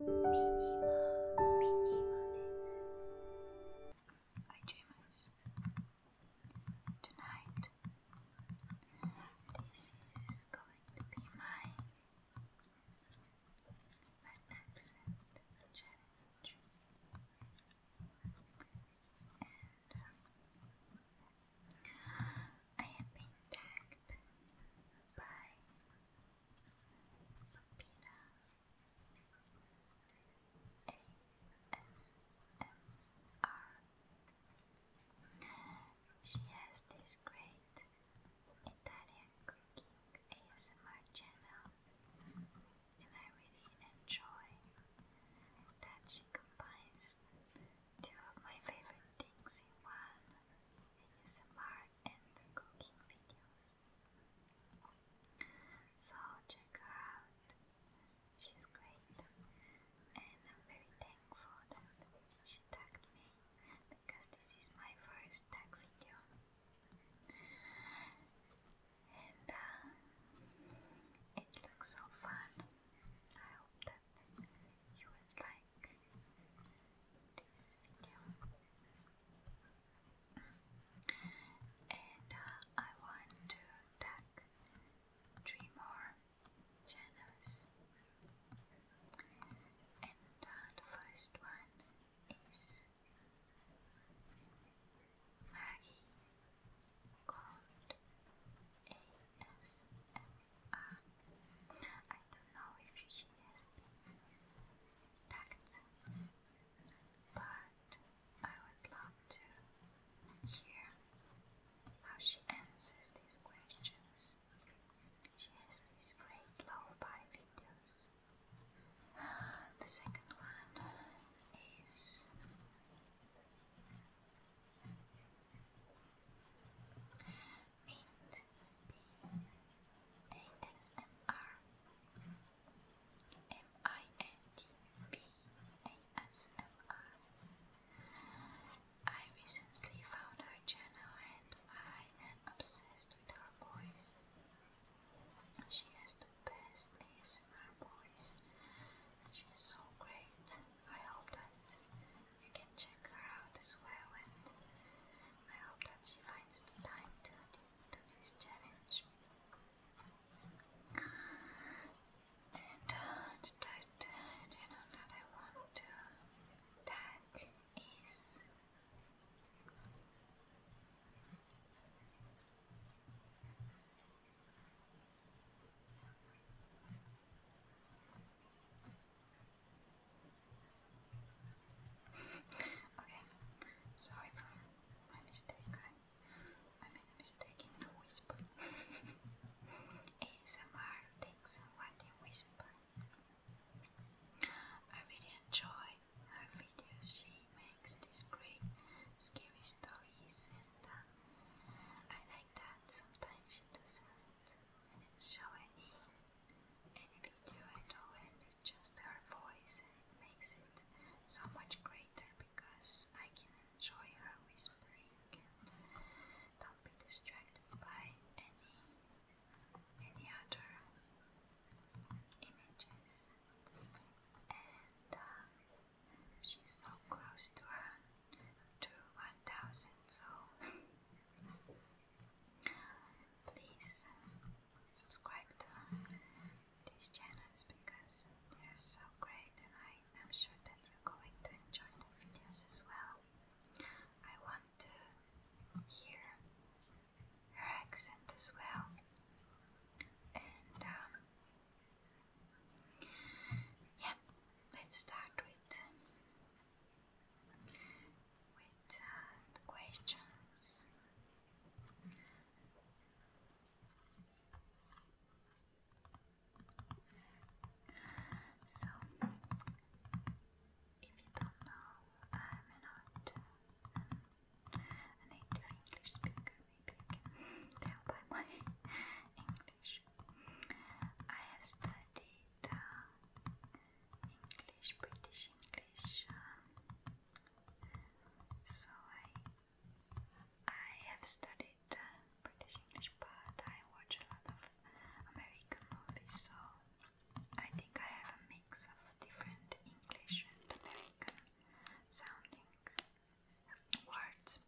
Hi dreamers. Tonight this is going to be my my challenge. And I have been tagged by she has this great Italian cooking ASMR channel, and I really enjoy that she combines two of my favorite things in one ASMR and cooking videos. So check her out. She's great and I'm very thankful that she tagged me because this is my first tag video. And uh, it looks so fun. I hope that you will like like this video. And I want to tag three more channels. And the first one is Maggie called ASMR. I don't know if she has been tagged, but I would love to hear how she answers these questions. She has these great lo-fi videos. The second one is Mint recently found her channel and I am obsessed with her voice. She has the best ASMR voice. She's so great. I hope that you can check her out as well and I hope that she finds the time to do this challenge. And uh, that uh, channel that I want to tag is okay, sorry for my mistake. I, made a mistake in the whisper. ASMR takes what you whisper. I really enjoy her videos. She makes these great scary stories, and uh, I like that sometimes she does show any any video at all and it's just her voice and it makes it so much greater because I can enjoy her whispering and not be distracted by any any other images and uh, she's so close to her to 1000 so please subscribe to these channels because they're so great and I am sure that you're going to enjoy the videos as well. I want to hear her accent as well and um, yeah, let's start with with uh, questions. So, if you don't know, I'm not a native English speaker. Maybe you can tell by my English I have studied uh, English, British English, um, so I I have studied uh, British English, but I watch a lot of American movies, so I think I have a mix of different English and American sounding words.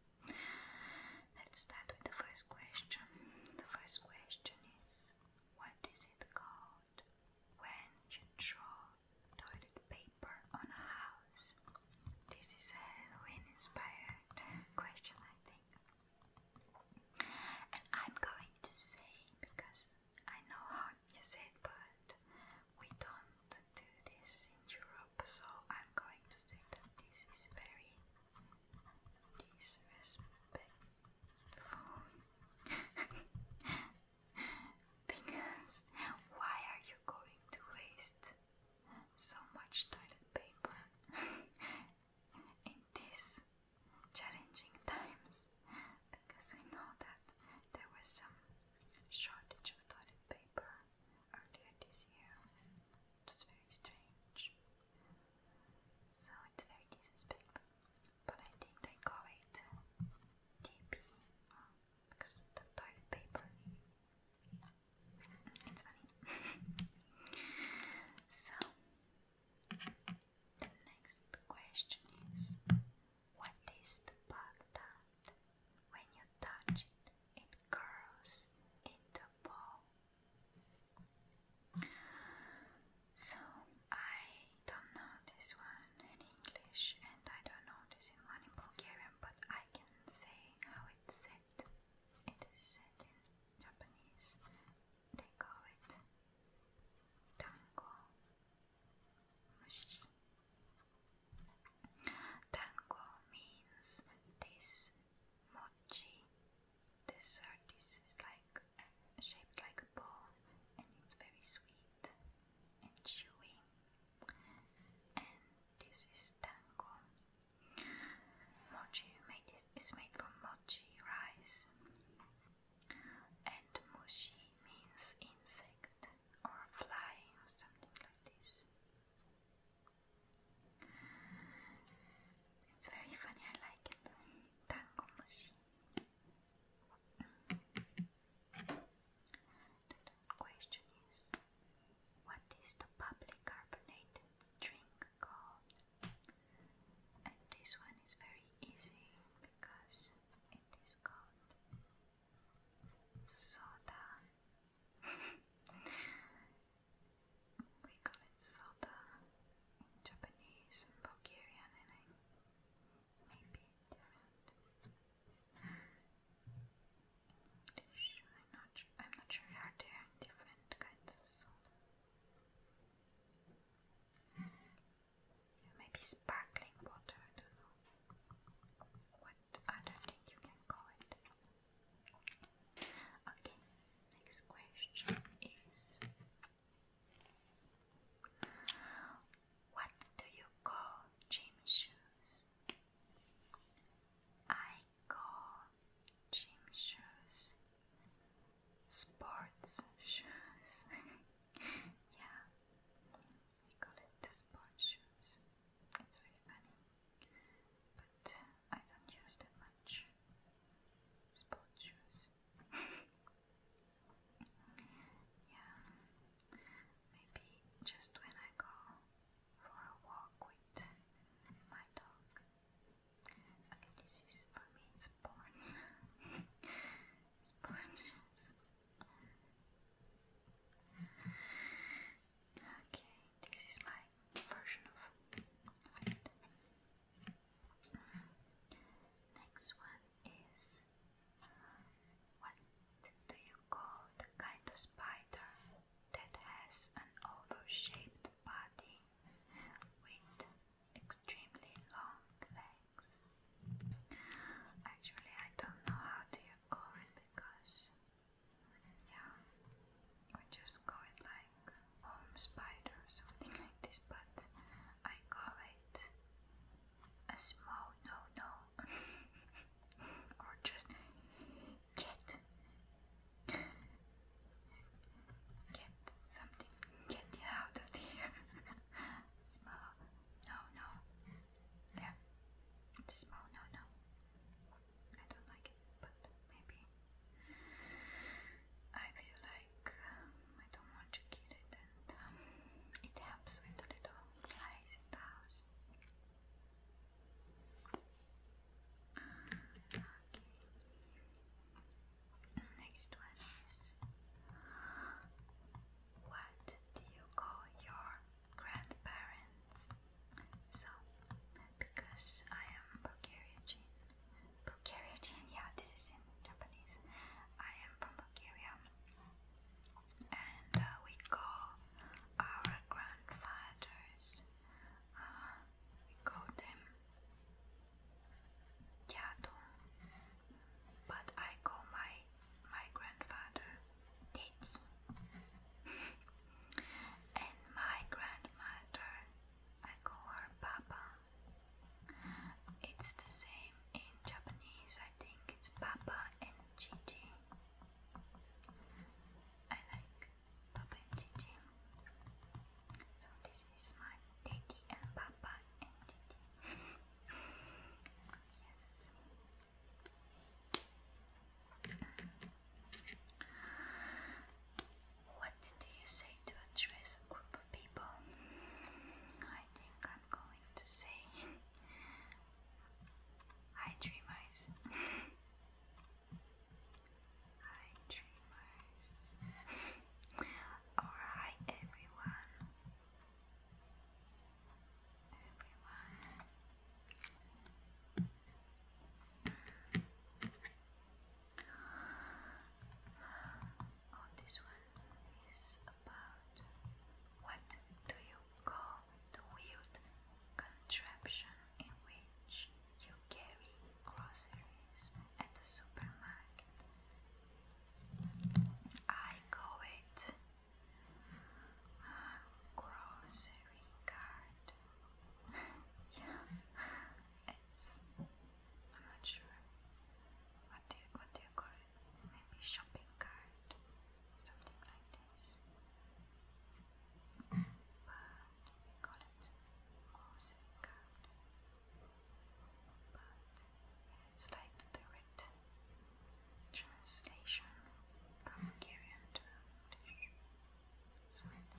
Let's start with the first question. The first question is What is it called when you draw toilet paper on a house? This is a Halloween inspired question, I think. And I'm going to say, because I know how you say it, but we don't do this in Europe, so I'm going to say that this is very disrespectful because why are you going to waste so much toilet paper in these challenging times? Because we know that there was some shortage of toilet paper earlier this year. It was very strange. So it's very disrespectful. But I think they call it TP uh, because the toilet paper. It's funny. so, the next question is What is the bug that when you touch it, it curls into a ball? So I don't know this one in English and I don't know this one in Bulgarian, but I can say how it's said. It is said in Japanese. They call it tango Tango means this mochi dessert. This is like shaped like a ball, and it's very sweet and chewy. And this is tango. Mochi made it, is made from mochi rice, and mushi means insect or fly or something like this. It's very funny, I like it. Tango machine. The question is What is the public carbonated drink called? And this one is very easy because it is called soda we call it soda Japanese Bulgarian, and maybe different English. I'm not. sure. Are there different kinds of soda? Maybe sparkling water. I don't know. I don't think you can call it. Okay, next question is What do you call gym shoes? I call gym shoes sports shoes. yeah, we call it the sports shoes. It's very funny but I don't use that much sport shoes. yeah, maybe just when I go for a walk with my dog. Okay, this is for me sports. sports shoes. Okay, this is my version of it. Next one is what do you call the kind of spider that has an oval shaped body with extremely long legs? Actually, I don't know how do call it because and yeah, we just call it like home spider or something like this, but I call it a small no no or just cat get something get it out of here small no no yeah, it's a small no I don't like it, but maybe I feel like um, I don't want to kill it, and um, it helps with the little flies in the house. Okay. Next one is what do you call your grandparents. So, because I am Bulgarian, Bulgarian, yeah, this is in Japanese. I am from Bulgaria, and uh, we call our grandfathers. Uh, we call them Tiato, but I call my my grandfather Daddy. and my grandmother, I call her Papa. It's the same in Japanese, I think it's Papa and Gigi. I like Papa and Gigi. So this is my daddy and Papa and Gigi. yes. What do you say to address a group of people? I think I'm going to say I dream eyes. I dream eyes. everyone. Oh, this one is about what do you call the wheeled contraption in which you carry groceries at the supermarket? I call it grocery card. yeah, it's. I'm not sure. What do what do you call it? Maybe shopping card, something like this. But call it grocery card. But it's like the translation from Hungarian to English. So it's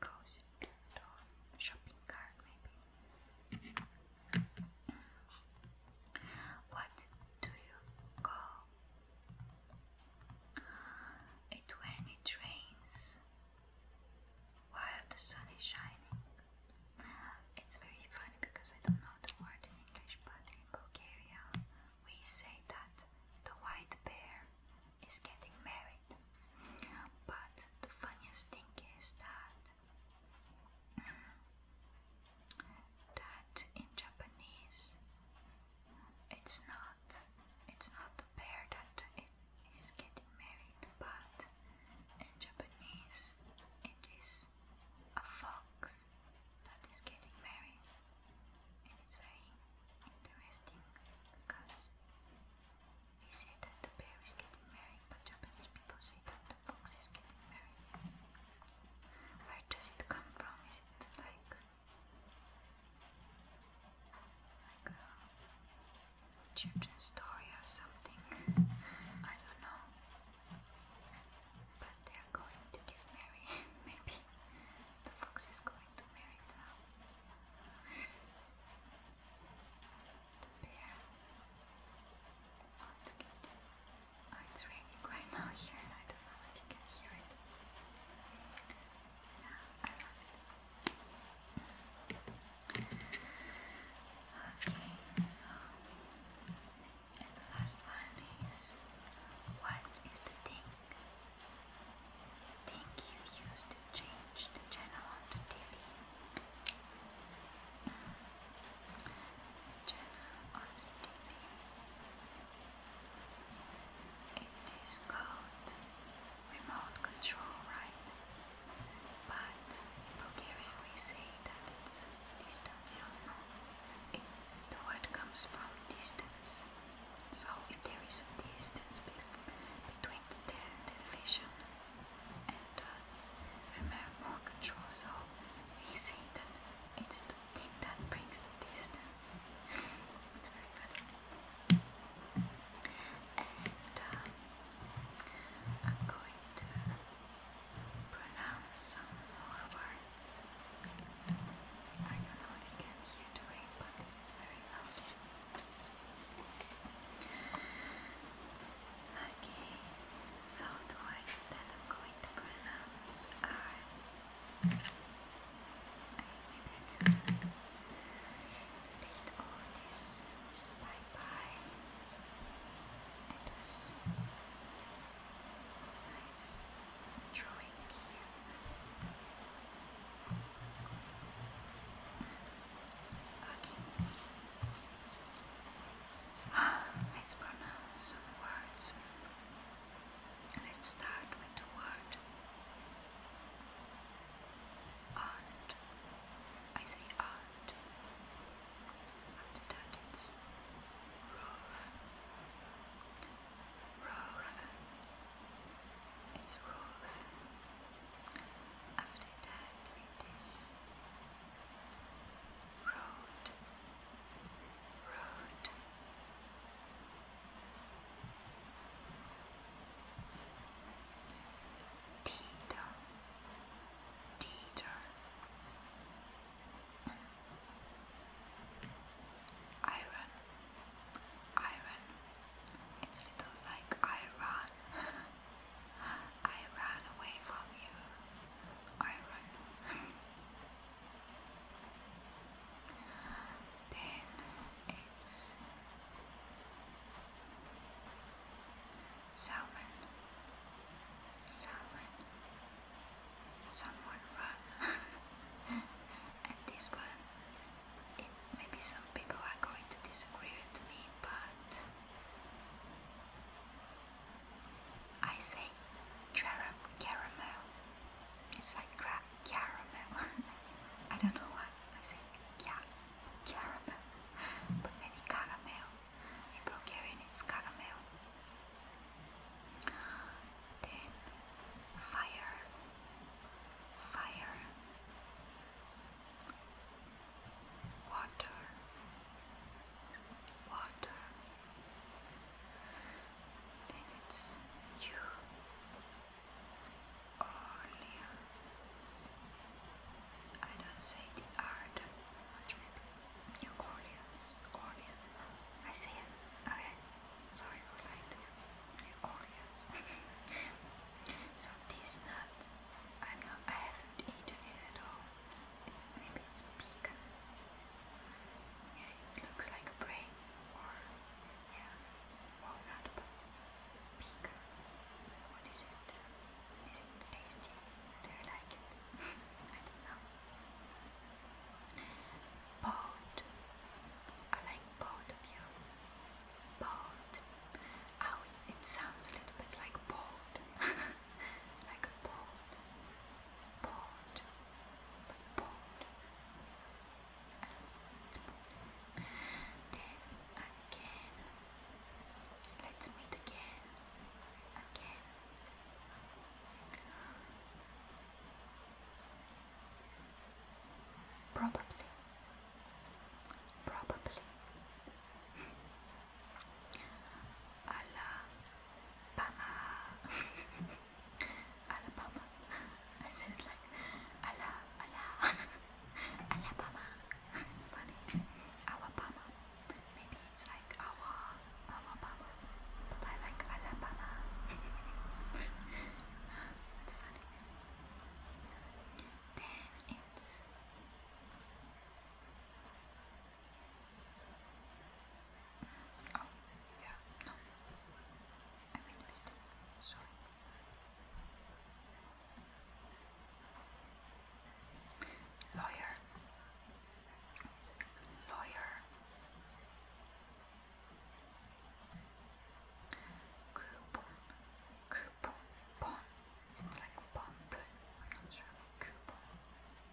cozy gift or shopping cart, maybe. What do you call it when it rains while the sun is shining? It's very funny because I don't know the word in English, but Bulgaria, we say that the white bear is getting married. But the funniest thing is that that in Japanese it's not it's not the bear that it is getting married, but in Japanese it is a fox that is getting married, and it's very interesting because they say that the bear is getting married, but Japanese people say that the fox is getting married. Where does it come from? Is it like a children's story or something? I don't know. But they're going to get married. Maybe the fox is going to marry the bear. Oh, it's good. Oh, it's raining right now here. I don't know you can hear it. Okay, so and the last one is what is the thing? Thing you use to change the channel on the TV. Mm. Channel on TV. It is called remote control, right? But in Bulgarian we say that it's Distance, you know, eh, the word comes from distance. So if there is a distance between the television and uh, the remote control, so we say that it's the thing that brings the distance. it's very funny. And uh, I'm going to pronounce some words. I don't know if you can hear the rain, but it's very loud. Okay, so the words that I'm going to pronounce are. Maybe I can lead off this by. And this nice drawing here. Okay. let's pronounce some words. Let's start with the word aunt. I say aunt it's Rolf. Rolf. It's Rolf. After that, it is road. Road. Tito, Dieter. Iron. Iron. It's a little like I ran. I ran away from you. Iron. then it's Salmon, salmon. Someone run. and this one, maybe some people are going to disagree with me, but I say caramel. It's like crack caramel. I don't know why I say ca caramel, but maybe caramel in Bulgarian it's caramel. Then fire, fire, water, water. Then it's you, Orleans, I don't say the R that much maybe. New Orleans. Orleans. I say it. Okay. Sorry for lying New Orleans. so these nuts I'm not I haven't eaten it at Maybe it's pecan. Yeah, it looks like a brain or yeah. Well but pecan. What is it? Is it tasty? Do you like it? I don't know. I like bold of you. Bold. Oh, it, sounds a little bit like bold. like a bold. Bold. Then again, let's meet again, again. Probably, probably. Alabama, Alabama. I said like, Allah, Alabama. It's funny. Alabama. Maybe it's like our Alabama, but I like Alabama. it's funny. Then it's. Oh, yeah, no. I made a mistake. Sorry. Lawyer, lawyer, coupon, coupon, bon, like bump. I'm not sure. Coupon,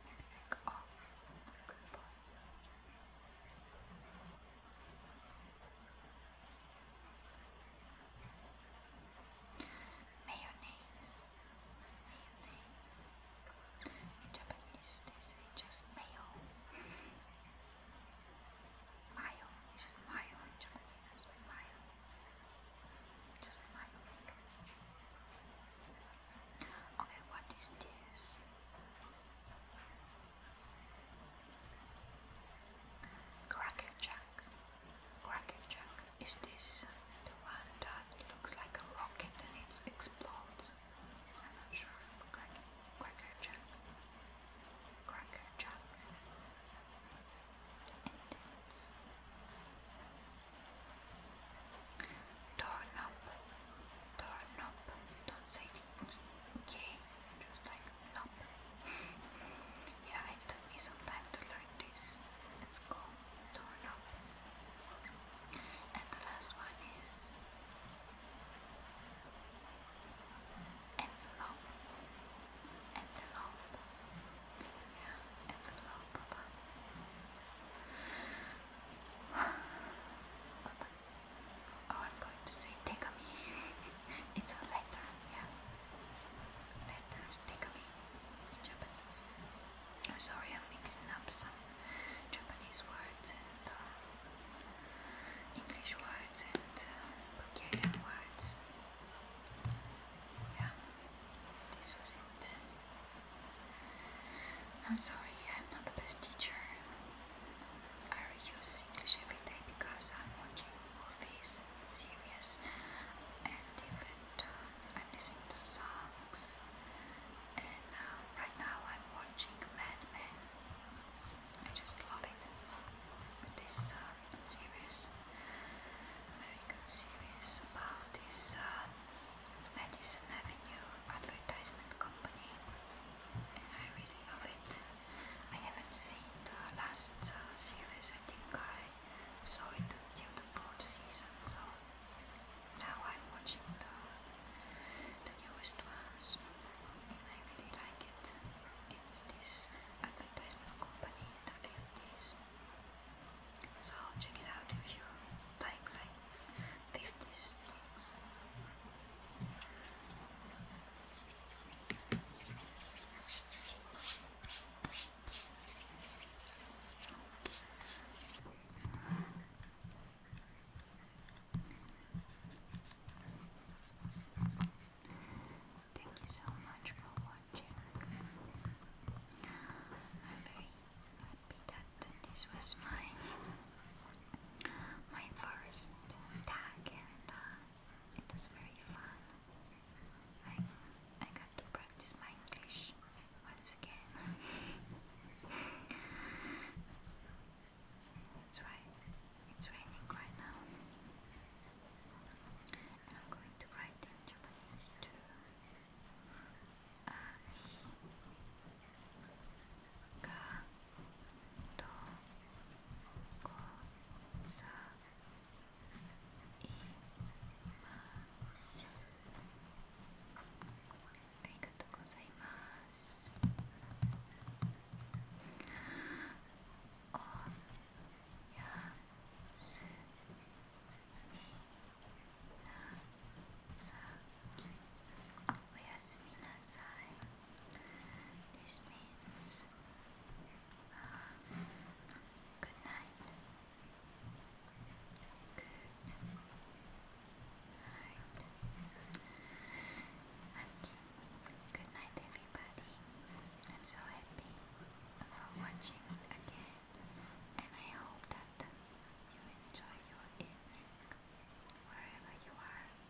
maybe off. Coupon. Mayonnaise. Mayonnaise. In Japanese they say just mayo. mayo. Is mayo in Japanese? Mayo. Just mayo. Okay, what is this? Cracker Jack. Cracker Jack, is this the one that looks like a rocket and it explodes? I'm not sure. Cracker, Jack. Cracker Jack. And it's Doorknob. Doorknob. Don't say the K, just like Nope. Yeah, it took me some time to learn this. It's called doorknob. And the last one is envelope. Envelope. Yeah, envelope. Oh, I'm going to say take a it's a letter, yeah that uh, in Japanese. I'm sorry, I'm mixing up some Japanese words and uh, English words and uh, Bulgarian words. Yeah, this was it. I'm sorry, I'm not the best teacher. I use English every day because I'm watching movies serious and different. Uh, I'm listening to songs, and uh, right now I'm watching Mad Men. I just love it. This uh, series, American series about this Madison Avenue advertisement company, and I really love it. I haven't seen the last uh, series. I think I saw it until the fourth season, so now I'm watching the the newest ones, and I really like it. It's this advertisement company, in the fifties. So check it out if you like like fifties things. Thank you so much for watching. I'm very happy that this was my my first tag and it was very fun. I, I got to practice my English once again. It's right. It's raining right now. I'm going to write in Japanese too. Uh, と。こさいまありがとうございますおやすみなさいおやすみなさい This means um, good night. Good night. Okay. Good night, everybody. I'm so happy for watching again, and I hope that you enjoy your evening wherever you are.